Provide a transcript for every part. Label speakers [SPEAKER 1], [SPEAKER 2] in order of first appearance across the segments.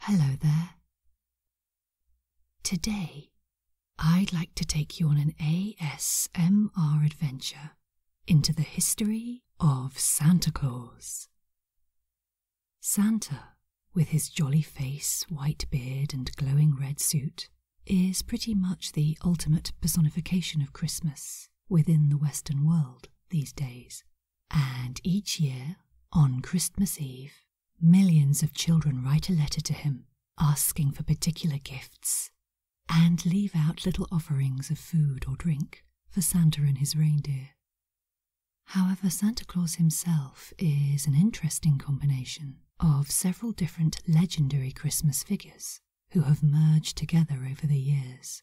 [SPEAKER 1] Hello there. Today, I'd like to take you on an ASMR adventure into the history of Santa Claus. Santa, with his jolly face, white beard, and glowing red suit, is pretty much the ultimate personification of Christmas within the Western world these days. And each year, on Christmas Eve, millions of children write a letter to him asking for particular gifts and leave out little offerings of food or drink for Santa and his reindeer. However, Santa Claus himself is an interesting combination of several different legendary Christmas figures who have merged together over the years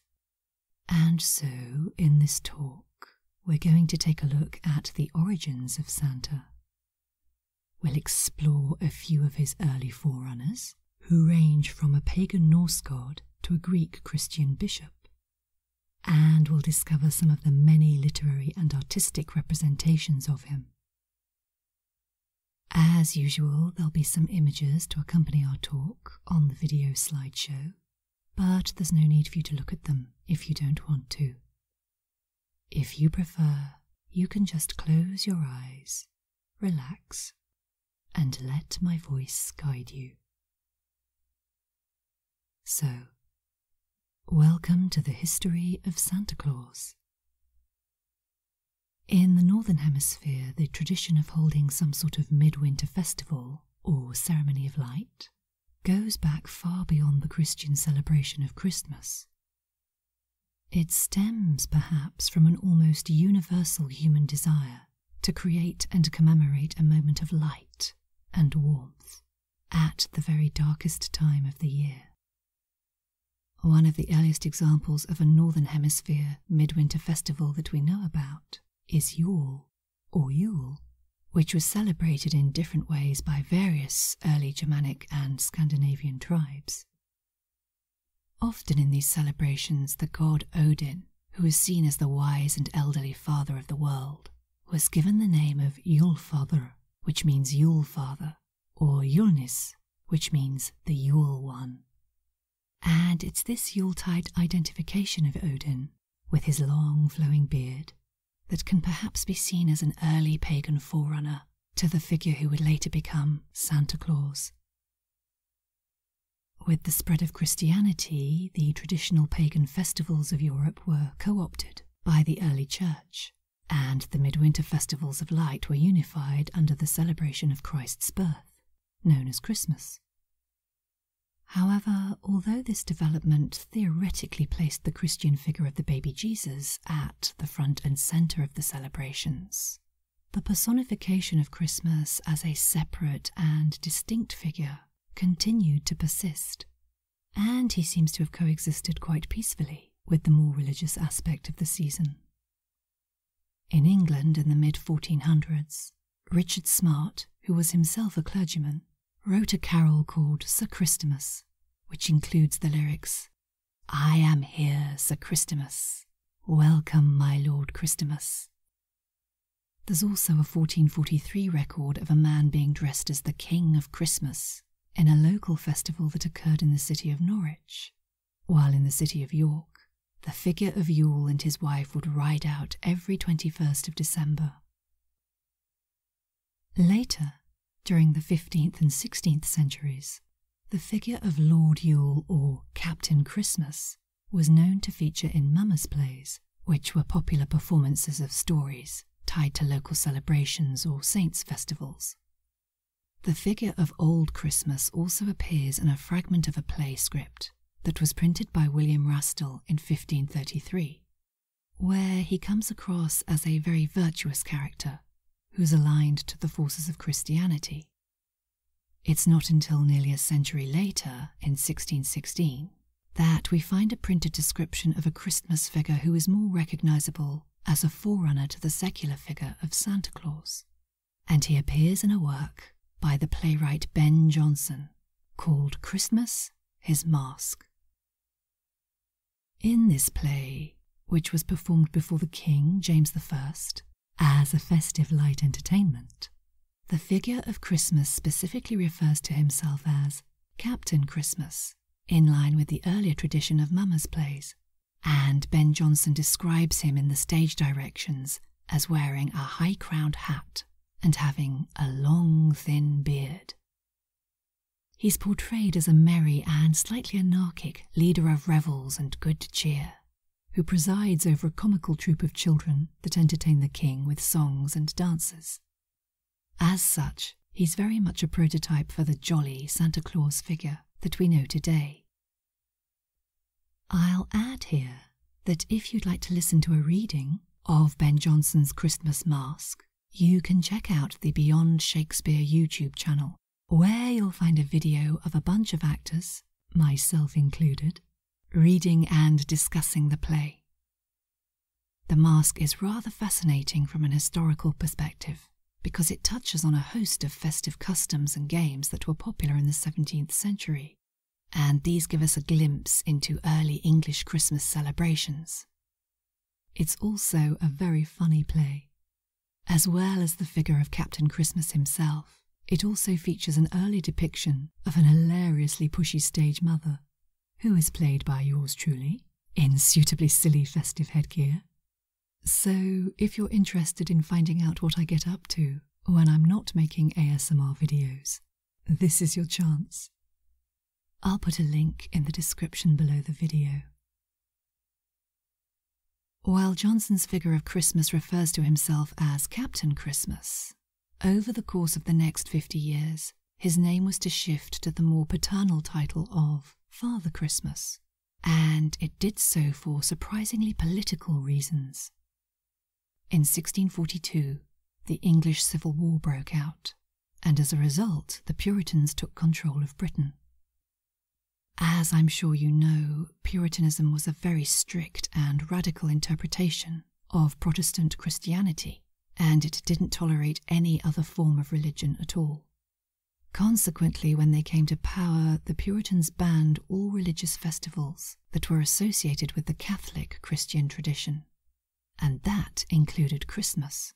[SPEAKER 1] and so, in this talk, we're going to take a look at the origins of Santa. We'll explore a few of his early forerunners, who range from a pagan Norse god to a Greek Christian bishop. And we'll discover some of the many literary and artistic representations of him. As usual, there'll be some images to accompany our talk on the video slideshow, but there's no need for you to look at them if you don't want to. If you prefer, you can just close your eyes, relax, and let my voice guide you. So, welcome to the history of Santa Claus. In the Northern Hemisphere, the tradition of holding some sort of midwinter festival or ceremony of light, goes back far beyond the Christian celebration of Christmas. It stems, perhaps, from an almost universal human desire to create and commemorate a moment of light and warmth at the very darkest time of the year. One of the earliest examples of a Northern Hemisphere midwinter festival that we know about is Yule, or Yule, which was celebrated in different ways by various early Germanic and Scandinavian tribes. Often in these celebrations, the god Odin, who is seen as the wise and elderly father of the world, was given the name of Father, which means Yule father, or Yulnis, which means the Yule one. And it's this Yuletide identification of Odin, with his long flowing beard, that can perhaps be seen as an early pagan forerunner to the figure who would later become Santa Claus. With the spread of Christianity, the traditional pagan festivals of Europe were co opted by the early church, and the midwinter festivals of light were unified under the celebration of Christ's birth, known as Christmas. However, although this development theoretically placed the Christian figure of the baby Jesus at the front and center of the celebrations, the personification of Christmas as a separate and distinct figure continued to persist, and he seems to have coexisted quite peacefully with the more religious aspect of the season. In England in the mid 1400s, Richard Smart, who was himself a clergyman, wrote a carol called Sir Christmas, which includes the lyrics I am here, Sir Christmas. Welcome, my Lord Christmas. There's also a 1443 record of a man being dressed as the King of Christmas in a local festival that occurred in the city of Norwich, while in the city of York, the figure of Yule and his wife would ride out every 21st of December. Later, during the 15th and 16th centuries, the figure of Lord Yule or Captain Christmas was known to feature in mummers' plays, which were popular performances of stories tied to local celebrations or saints' festivals. The figure of Old Christmas also appears in a fragment of a play script that was printed by William Rastall in 1533, where he comes across as a very virtuous character who's aligned to the forces of Christianity. It's not until nearly a century later, in 1616, that we find a printed description of a Christmas figure who is more recognizable as a forerunner to the secular figure of Santa Claus and he appears in a work by the playwright Ben Jonson called Christmas His Mask. In this play, which was performed before the King James I as a festive light entertainment, the figure of Christmas specifically refers to himself as Captain Christmas, in line with the earlier tradition of Mama's plays, and Ben Jonson describes him in the stage directions as wearing a high crowned hat and having a long, thin beard. He's portrayed as a merry and slightly anarchic leader of revels and good cheer, who presides over a comical troop of children that entertain the king with songs and dances. As such, he's very much a prototype for the jolly Santa Claus figure that we know today. I'll add here that if you'd like to listen to a reading of Ben Jonson's Christmas Masque, you can check out the Beyond Shakespeare YouTube channel, where you'll find a video of a bunch of actors, myself included, reading and discussing the play. The masque is rather fascinating from an historical perspective because it touches on a host of festive customs and games that were popular in the 17th century, and these give us a glimpse into early English Christmas celebrations. It's also a very funny play. As well as the figure of Captain Christmas himself, it also features an early depiction of an hilariously pushy stage mother, who is played by yours truly, in suitably silly festive headgear. So, if you're interested in finding out what I get up to, when I'm not making ASMR videos. This is your chance. I'll put a link in the description below the video. While Johnson's figure of Christmas refers to himself as Captain Christmas, over the course of the next 50 years, his name was to shift to the more paternal title of Father Christmas, and it did so for surprisingly political reasons. In 1642, the English Civil War broke out, and as a result, the Puritans took control of Britain. As I'm sure you know, Puritanism was a very strict and radical interpretation of Protestant Christianity, and it didn't tolerate any other form of religion at all. Consequently, when they came to power, the Puritans banned all religious festivals that were associated with the Catholic Christian tradition, and that included Christmas.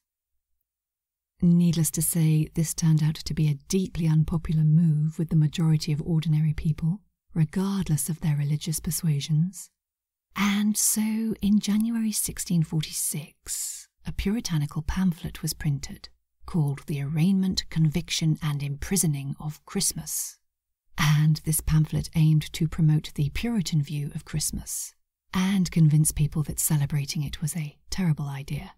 [SPEAKER 1] Needless to say, this turned out to be a deeply unpopular move with the majority of ordinary people, regardless of their religious persuasions. And so, in January 1646, a puritanical pamphlet was printed called The Arraignment, Conviction, and Imprisoning of Christmas, and this pamphlet aimed to promote the Puritan view of Christmas and convince people that celebrating it was a terrible idea.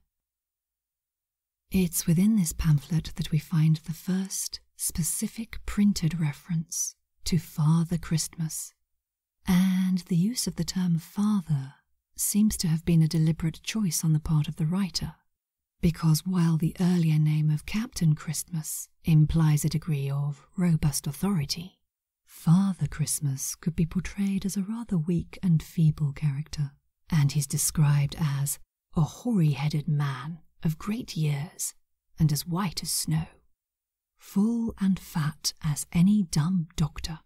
[SPEAKER 1] It's within this pamphlet that we find the first specific printed reference to Father Christmas, and the use of the term father seems to have been a deliberate choice on the part of the writer because while the earlier name of Captain Christmas implies a degree of robust authority, Father Christmas could be portrayed as a rather weak and feeble character, and he's described as a hoary headed man of great years and as white as snow, full and fat as any dumb doctor.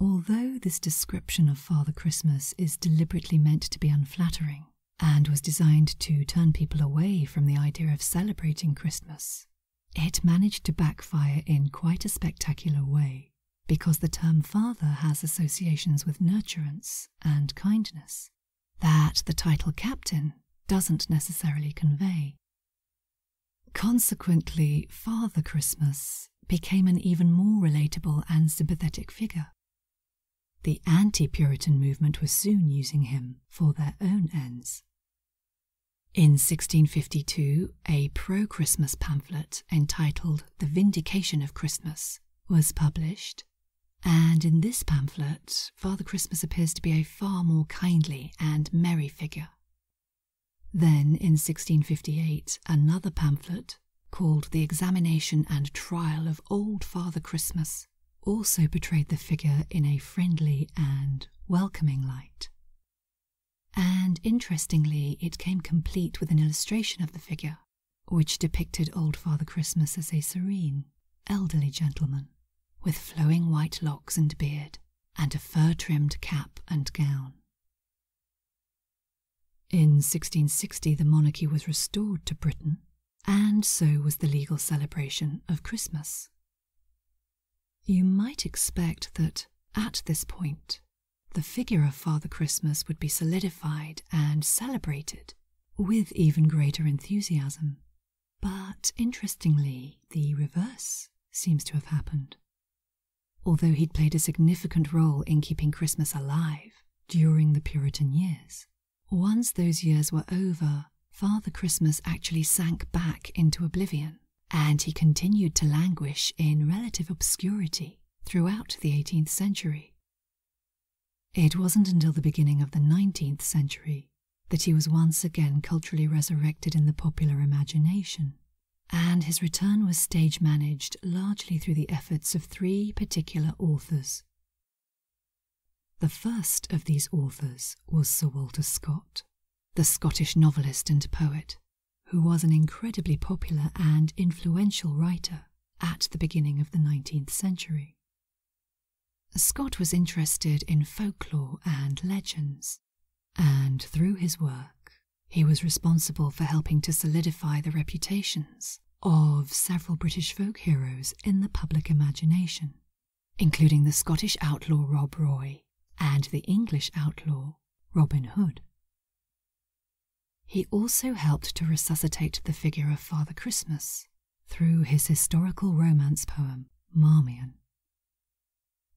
[SPEAKER 1] Although this description of Father Christmas is deliberately meant to be unflattering and was designed to turn people away from the idea of celebrating Christmas, it managed to backfire in quite a spectacular way because the term father has associations with nurturance and kindness that the title captain doesn't necessarily convey. Consequently, Father Christmas became an even more relatable and sympathetic figure. The anti Puritan movement was soon using him for their own ends. In 1652, a pro Christmas pamphlet entitled The Vindication of Christmas was published, and in this pamphlet, Father Christmas appears to be a far more kindly and merry figure. Then, in 1658, another pamphlet called the Examination and Trial of Old Father Christmas also portrayed the figure in a friendly and welcoming light. And interestingly, it came complete with an illustration of the figure, which depicted Old Father Christmas as a serene, elderly gentleman with flowing white locks and beard and a fur trimmed cap and gown. In 1660, the monarchy was restored to Britain, and so was the legal celebration of Christmas. You might expect that at this point, the figure of Father Christmas would be solidified and celebrated with even greater enthusiasm. But interestingly, the reverse seems to have happened although he'd played a significant role in keeping Christmas alive during the Puritan years. Once those years were over, Father Christmas actually sank back into oblivion, and he continued to languish in relative obscurity throughout the 18th century. It wasn't until the beginning of the 19th century that he was once again culturally resurrected in the popular imagination and his return was stage managed largely through the efforts of three particular authors. The first of these authors was Sir Walter Scott, the Scottish novelist and poet, who was an incredibly popular and influential writer at the beginning of the 19th century. Scott was interested in folklore and legends, and through his work, he was responsible for helping to solidify the reputations of several British folk heroes in the public imagination, including the Scottish outlaw Rob Roy and the English outlaw Robin Hood. He also helped to resuscitate the figure of Father Christmas through his historical romance poem, Marmion.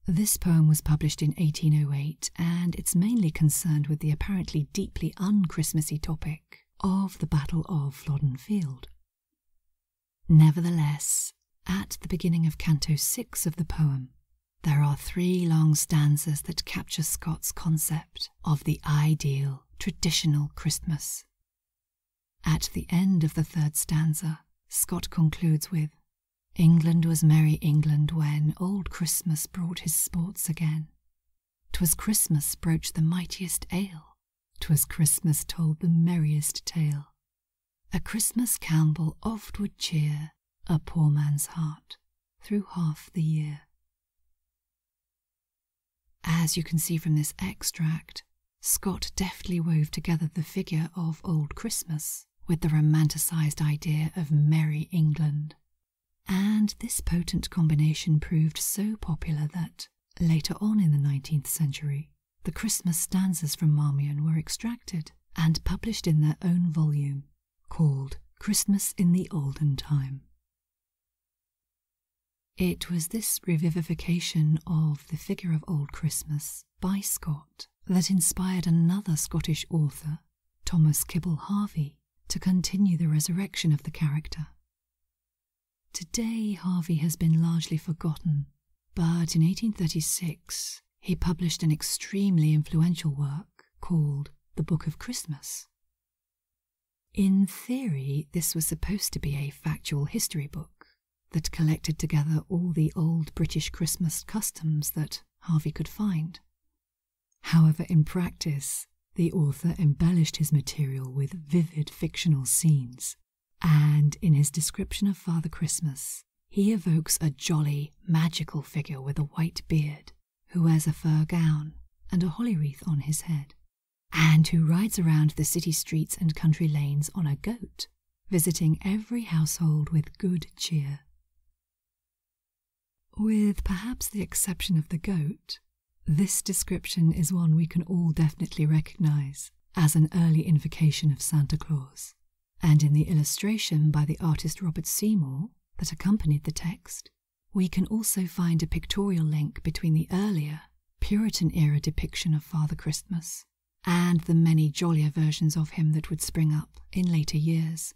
[SPEAKER 1] This poem was published in 1808 and it's mainly concerned with the apparently deeply unchristmasy topic of the Battle of Flodden Field. Nevertheless, at the beginning of Canto 6 of the poem, there are three long stanzas that capture Scott's concept of the ideal, traditional Christmas. At the end of the third stanza, Scott concludes with England was merry England when old Christmas brought his sports again. 'Twas Christmas broached the mightiest ale, 'twas Christmas told the merriest tale. A Christmas Campbell oft would cheer a poor man's heart through half the year. As you can see from this extract, Scott deftly wove together the figure of Old Christmas with the romanticized idea of Merry England and this potent combination proved so popular that, later on in the 19th century, the Christmas stanzas from Marmion were extracted and published in their own volume called Christmas in the Olden Time. It was this revivification of the figure of Old Christmas by Scott that inspired another Scottish author Thomas Kibble Harvey, to continue the resurrection of the character. Today, Harvey has been largely forgotten, but in 1836 he published an extremely influential work called The Book of Christmas. In theory, this was supposed to be a factual history book that collected together all the old British Christmas customs that Harvey could find. However, in practice, the author embellished his material with vivid fictional scenes, and in his description of Father Christmas, he evokes a jolly, magical figure with a white beard who wears a fur gown and a holly wreath on his head, and who rides around the city streets and country lanes on a goat, visiting every household with good cheer. With perhaps the exception of the goat, this description is one we can all definitely recognize as an early invocation of Santa Claus. And in the illustration by the artist Robert Seymour that accompanied the text, we can also find a pictorial link between the earlier Puritan era depiction of Father Christmas and the many jollier versions of him that would spring up in later years.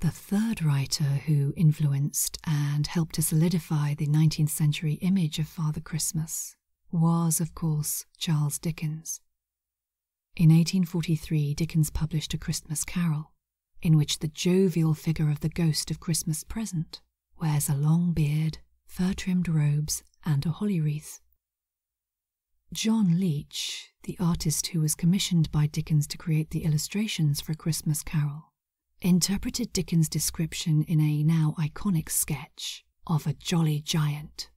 [SPEAKER 1] The third writer who influenced and helped to solidify the 19th century image of Father Christmas was, of course, Charles Dickens. In 1843, Dickens published A Christmas Carol, in which the jovial figure of the ghost of Christmas present wears a long beard, fur trimmed robes, and a holly wreath. John Leech, the artist who was commissioned by Dickens to create the illustrations for A Christmas Carol, interpreted Dickens' description in a now iconic sketch of a jolly giant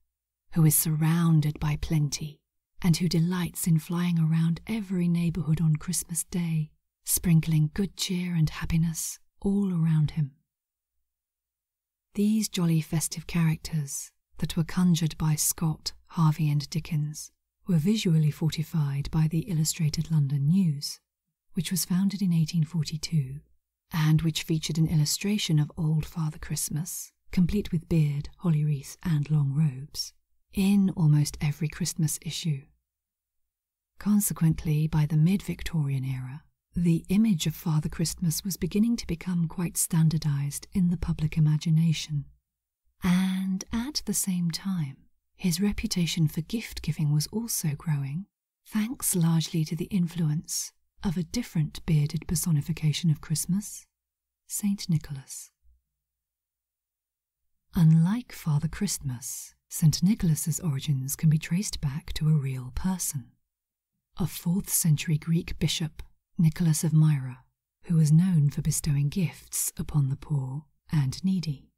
[SPEAKER 1] who is surrounded by plenty and who delights in flying around every neighborhood on Christmas Day, sprinkling good cheer and happiness all around him. These jolly festive characters that were conjured by Scott, Harvey, and Dickens were visually fortified by the Illustrated London News, which was founded in 1842 and which featured an illustration of Old Father Christmas, complete with beard, holly wreath, and long robes, in almost every Christmas issue. Consequently, by the mid Victorian era, the image of Father Christmas was beginning to become quite standardized in the public imagination. And at the same time, his reputation for gift giving was also growing, thanks largely to the influence of a different bearded personification of Christmas, St. Nicholas. Unlike Father Christmas, St. Nicholas's origins can be traced back to a real person. A 4th century Greek bishop, Nicholas of Myra, who was known for bestowing gifts upon the poor and needy.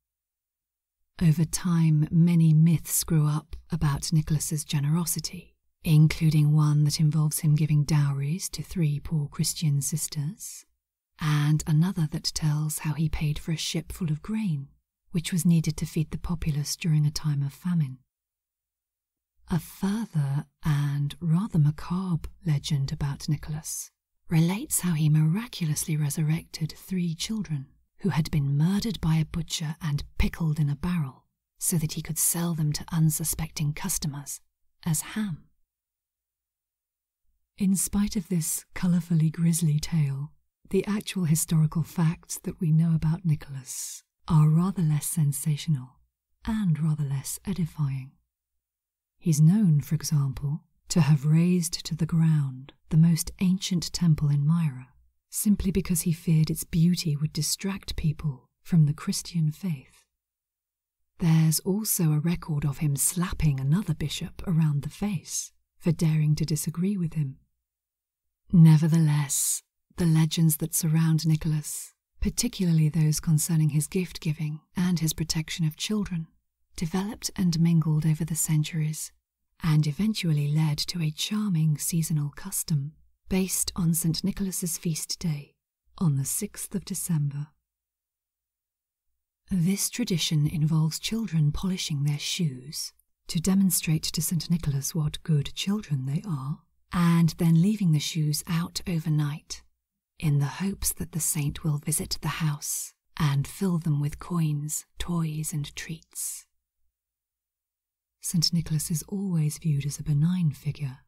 [SPEAKER 1] Over time, many myths grew up about Nicholas's generosity, including one that involves him giving dowries to three poor Christian sisters, and another that tells how he paid for a ship full of grain, which was needed to feed the populace during a time of famine. A further and rather macabre legend about Nicholas relates how he miraculously resurrected three children who had been murdered by a butcher and pickled in a barrel so that he could sell them to unsuspecting customers as ham. In spite of this colourfully grisly tale, the actual historical facts that we know about Nicholas are rather less sensational and rather less edifying. He's known, for example, to have razed to the ground the most ancient temple in Myra, simply because he feared its beauty would distract people from the Christian faith. There's also a record of him slapping another bishop around the face for daring to disagree with him. Nevertheless, the legends that surround Nicholas particularly those concerning his gift giving and his protection of children, developed and mingled over the centuries, and eventually led to a charming seasonal custom based on St. Nicholas's feast day on the 6th of December. This tradition involves children polishing their shoes to demonstrate to St. Nicholas what good children they are and then leaving the shoes out overnight in the hopes that the saint will visit the house and fill them with coins, toys, and treats. St. Nicholas is always viewed as a benign figure,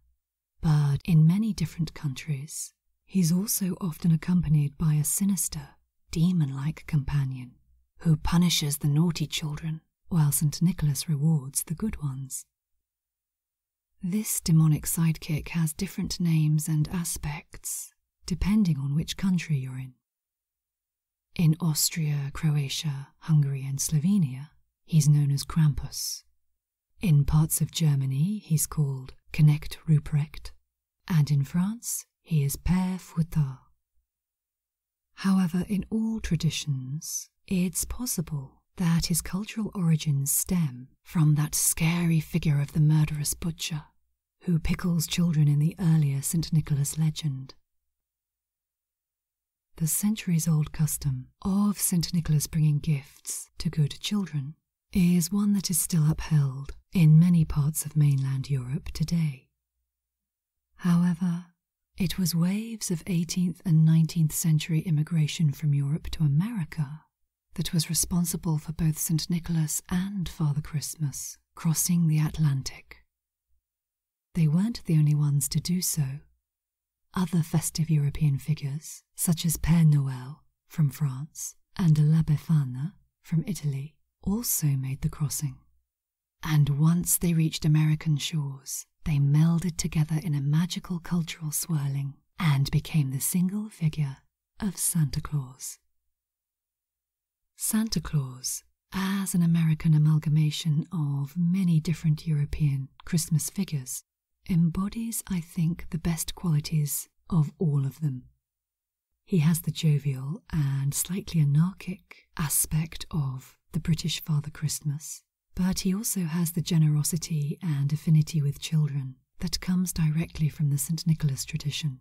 [SPEAKER 1] but in many different countries, he is also often accompanied by a sinister, demon like companion who punishes the naughty children while St. Nicholas rewards the good ones. This demonic sidekick has different names and aspects depending on which country you're in. In Austria, Croatia, Hungary, and Slovenia, he's known as Krampus. In parts of Germany, he's called Knecht Ruprecht, and in France, he is Père Fouettard. However, in all traditions, it's possible that his cultural origins stem from that scary figure of the murderous butcher who pickles children in the earlier St. Nicholas legend. The centuries old custom of St. Nicholas bringing gifts to good children is one that is still upheld in many parts of mainland Europe today. However, it was waves of 18th and 19th century immigration from Europe to America that was responsible for both St. Nicholas and Father Christmas crossing the Atlantic. They weren't the only ones to do so. Other festive European figures, such as Père Noël from France and La Befana from Italy, also made the crossing. And once they reached American shores, they melded together in a magical cultural swirling and became the single figure of Santa Claus. Santa Claus, as an American amalgamation of many different European Christmas figures, embodies, I think, the best qualities of all of them. He has the jovial and slightly anarchic aspect of the British Father Christmas, but he also has the generosity and affinity with children that comes directly from the St. Nicholas tradition,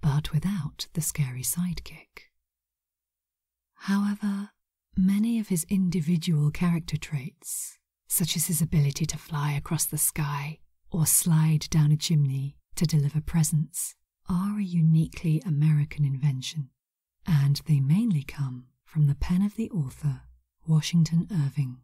[SPEAKER 1] but without the scary sidekick. However, many of his individual character traits, such as his ability to fly across the sky or slide down a chimney to deliver presents, are a uniquely American invention and they mainly come from the pen of the author Washington Irving.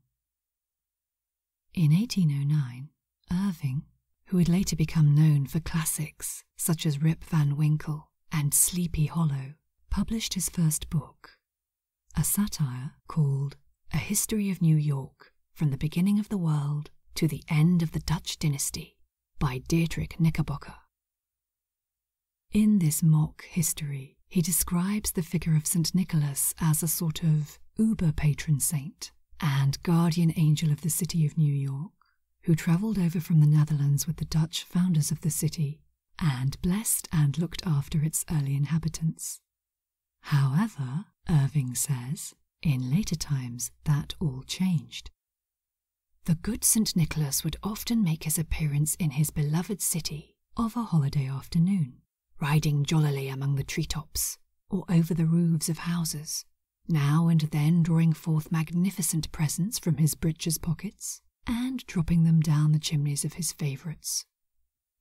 [SPEAKER 1] In 1809, Irving, who would later become known for classics such as Rip Van Winkle and Sleepy Hollow, published his first book, a satire called A History of New York From the Beginning of the World to the End of the Dutch Dynasty by Dietrich Knickerbocker. In this mock history, he describes the figure of St. Nicholas as a sort of uber patron saint and guardian angel of the city of New York, who travelled over from the Netherlands with the Dutch founders of the city and blessed and looked after its early inhabitants. However, Irving says, in later times that all changed. The good St. Nicholas would often make his appearance in his beloved city of a holiday afternoon, riding jollily among the tree tops or over the roofs of houses, now and then drawing forth magnificent presents from his breeches pockets and dropping them down the chimneys of his favourites.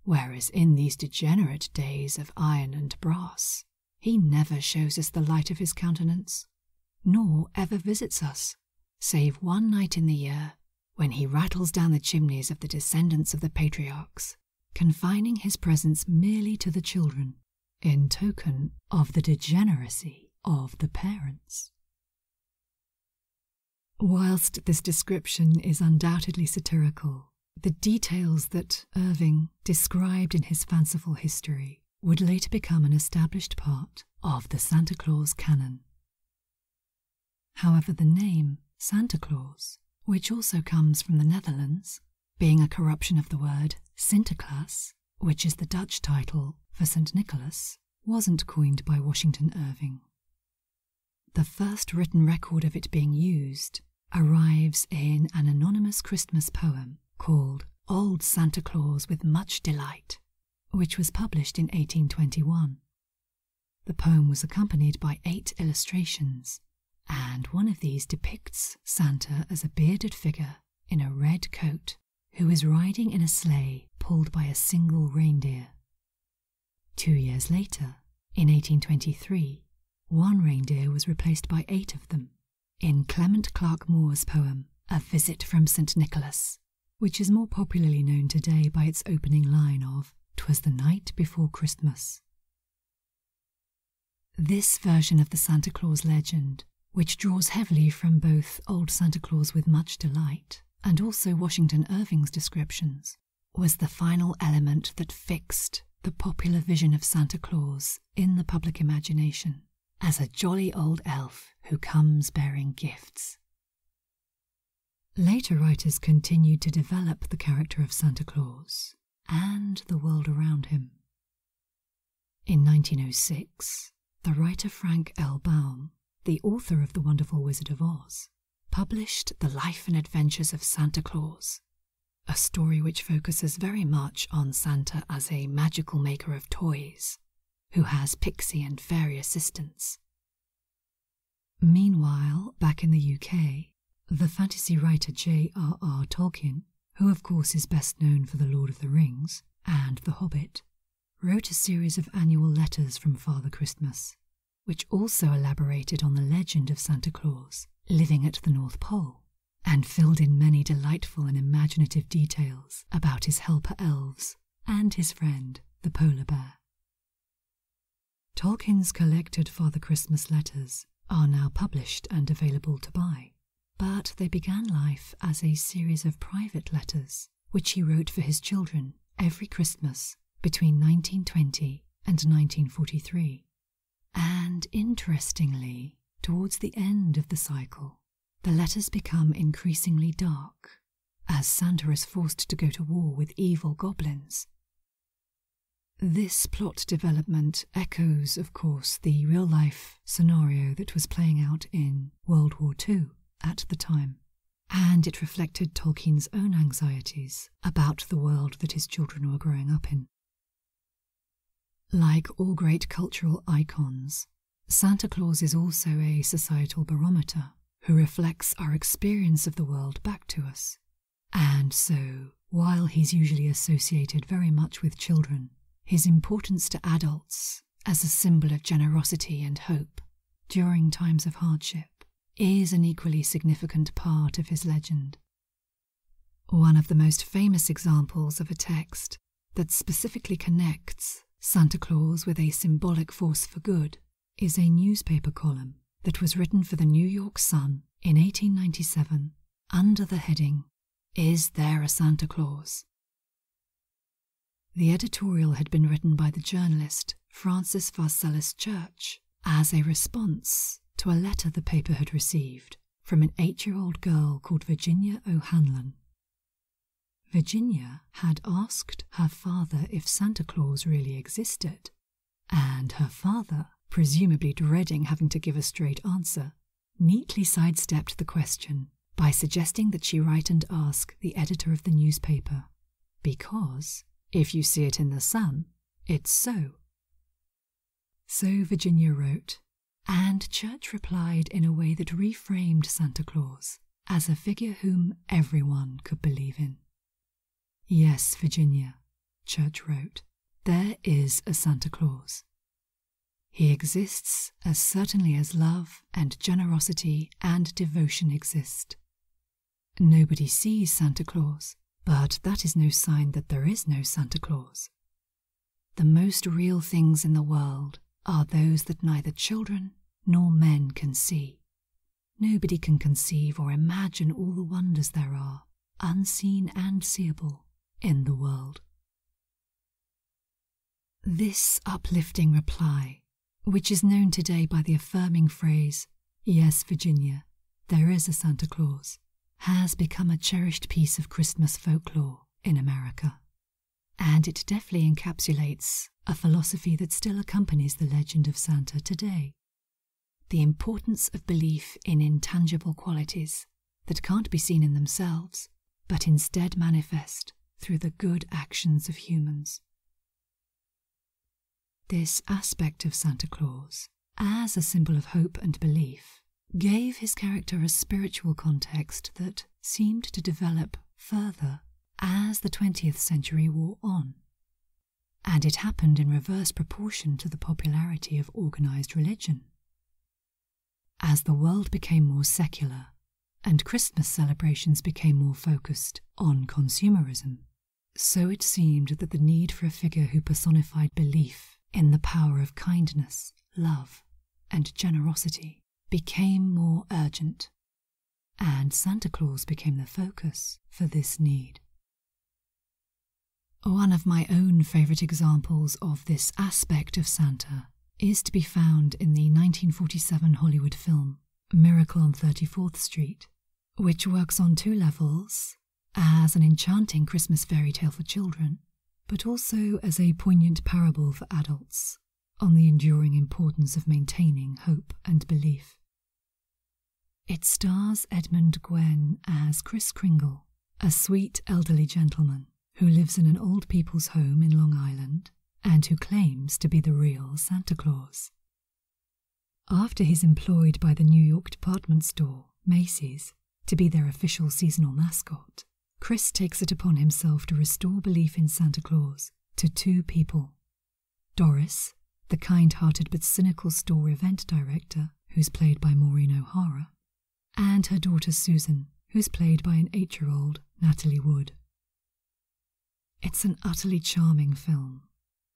[SPEAKER 1] Whereas in these degenerate days of iron and brass, he never shows us the light of his countenance, nor ever visits us save one night in the year when he rattles down the chimneys of the descendants of the patriarchs, confining his presence merely to the children, in token of the degeneracy of the parents. Whilst this description is undoubtedly satirical, the details that Irving described in his fanciful history would later become an established part of the Santa Claus canon. However, the name Santa Claus, which also comes from the Netherlands, being a corruption of the word Sinterklaas, which is the Dutch title for St. Nicholas, wasn't coined by Washington Irving. The first written record of it being used arrives in an anonymous Christmas poem called Old Santa Claus with Much Delight which was published in 1821. The poem was accompanied by eight illustrations, and one of these depicts Santa as a bearded figure in a red coat who is riding in a sleigh pulled by a single reindeer. Two years later, in 1823, one reindeer was replaced by eight of them, in Clement Clarke Moore's poem A Visit from St. Nicholas, which is more popularly known today by its opening line of Twas the night before Christmas. This version of the Santa Claus legend, which draws heavily from both Old Santa Claus with Much Delight and also Washington Irving's descriptions, was the final element that fixed the popular vision of Santa Claus in the public imagination as a jolly old elf who comes bearing gifts. Later writers continued to develop the character of Santa Claus and the world around him. In 1906, the writer Frank L. Baum, the author of The Wonderful Wizard of Oz, published The Life and Adventures of Santa Claus, a story which focuses very much on Santa as a magical maker of toys who has pixie and fairy assistants. Meanwhile, back in the UK, the fantasy writer J.R.R. Tolkien, who of course is best known for The Lord of the Rings and The Hobbit, wrote a series of annual letters from Father Christmas, which also elaborated on the legend of Santa Claus living at the North Pole and filled in many delightful and imaginative details about his helper elves and his friend the polar bear. Tolkien's collected Father Christmas letters are now published and available to buy, but they began life as a series of private letters which he wrote for his children every Christmas between 1920 and 1943. And interestingly, towards the end of the cycle, the letters become increasingly dark as Santa is forced to go to war with evil goblins. This plot development echoes, of course, the real life scenario that was playing out in World War II at the time, and it reflected Tolkien's own anxieties about the world that his children were growing up in. Like all great cultural icons, Santa Claus is also a societal barometer who reflects our experience of the world back to us. And so, while he's usually associated very much with children, his importance to adults as a symbol of generosity and hope during times of hardship is an equally significant part of his legend. One of the most famous examples of a text that specifically connects Santa Claus with a symbolic force for good is a newspaper column that was written for the New York Sun in 1897 under the heading, Is There a Santa Claus? The editorial had been written by the journalist Francis Varselis Church as a response to a letter the paper had received from an eight year old girl called Virginia O'Hanlon. Virginia had asked her father if Santa Claus really existed, and her father, presumably dreading having to give a straight answer, neatly sidestepped the question by suggesting that she write and ask the editor of the newspaper, because if you see it in the sun, it's so. So Virginia wrote, and Church replied in a way that reframed Santa Claus as a figure whom everyone could believe in. Yes, Virginia, Church wrote, there is a Santa Claus. He exists as certainly as love and generosity and devotion exist. Nobody sees Santa Claus, but that is no sign that there is no Santa Claus. The most real things in the world are those that neither children nor men can see. Nobody can conceive or imagine all the wonders there are, unseen and seeable, in the world. This uplifting reply, which is known today by the affirming phrase, Yes, Virginia, there is a Santa Claus, has become a cherished piece of Christmas folklore in America. And it deftly encapsulates a philosophy that still accompanies the legend of Santa today the importance of belief in intangible qualities that can't be seen in themselves, but instead manifest through the good actions of humans. This aspect of Santa Claus, as a symbol of hope and belief, gave his character a spiritual context that seemed to develop further as the 20th century wore on. And it happened in reverse proportion to the popularity of organized religion. As the world became more secular and Christmas celebrations became more focused on consumerism, so it seemed that the need for a figure who personified belief in the power of kindness, love, and generosity became more urgent, and Santa Claus became the focus for this need. One of my own favourite examples of this aspect of Santa is to be found in the 1947 Hollywood film Miracle on 34th Street, which works on two levels as an enchanting Christmas fairy tale for children but also as a poignant parable for adults on the enduring importance of maintaining hope and belief. It stars Edmund Gwen as Chris Kringle, a sweet elderly gentleman who lives in an old people's home in Long Island and who claims to be the real Santa Claus. After he's employed by the New York department store, Macy's, to be their official seasonal mascot, Chris takes it upon himself to restore belief in Santa Claus to two people Doris, the kind hearted but cynical store event director, who's played by Maureen O'Hara, and her daughter Susan, who's played by an eight year old, Natalie Wood. It's an utterly charming film,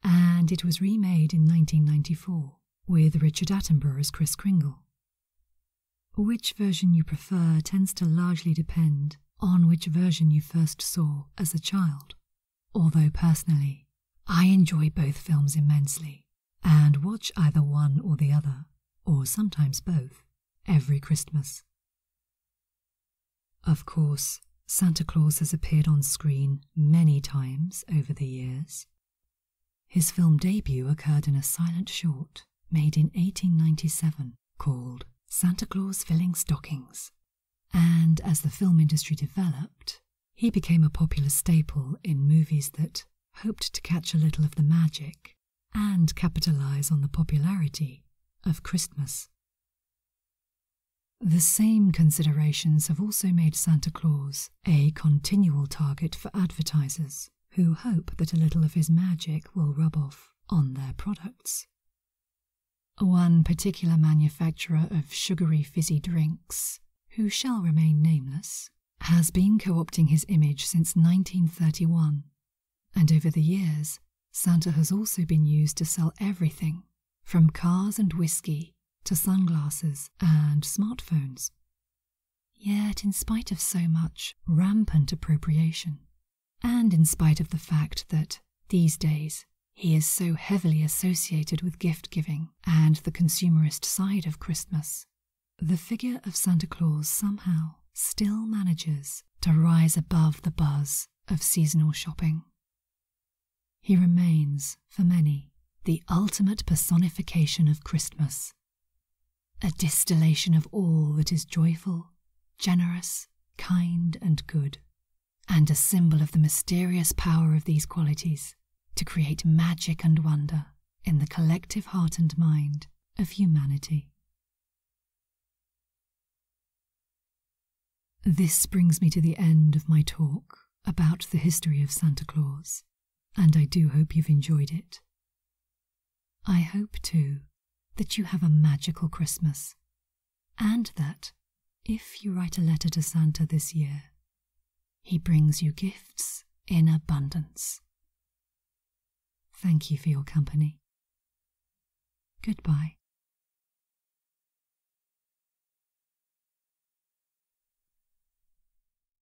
[SPEAKER 1] and it was remade in 1994 with Richard Attenborough as Chris Kringle. Which version you prefer tends to largely depend on which version you first saw as a child. Although personally, I enjoy both films immensely and watch either one or the other, or sometimes both, every Christmas. Of course, Santa Claus has appeared on screen many times over the years, his film debut occurred in a silent short made in 1897 called Santa Claus Filling Stockings. And as the film industry developed, he became a popular staple in movies that hoped to catch a little of the magic and capitalize on the popularity of Christmas. The same considerations have also made Santa Claus a continual target for advertisers who hope that a little of his magic will rub off on their products. One particular manufacturer of sugary fizzy drinks, who shall remain nameless, has been co opting his image since 1931, and over the years, Santa has also been used to sell everything from cars and whiskey to sunglasses and smartphones. Yet, in spite of so much rampant appropriation, and in spite of the fact that these days he is so heavily associated with gift giving and the consumerist side of Christmas, the figure of Santa Claus somehow still manages to rise above the buzz of seasonal shopping. He remains, for many, the ultimate personification of Christmas a distillation of all that is joyful, generous, kind, and good, and a symbol of the mysterious power of these qualities to create magic and wonder in the collective heart and mind of humanity. This brings me to the end of my talk about the history of Santa Claus and I do hope you've enjoyed it. I hope, too, that you have a magical Christmas, and that, if you write a letter to Santa this year, he brings you gifts in abundance. Thank you for your company. Goodbye.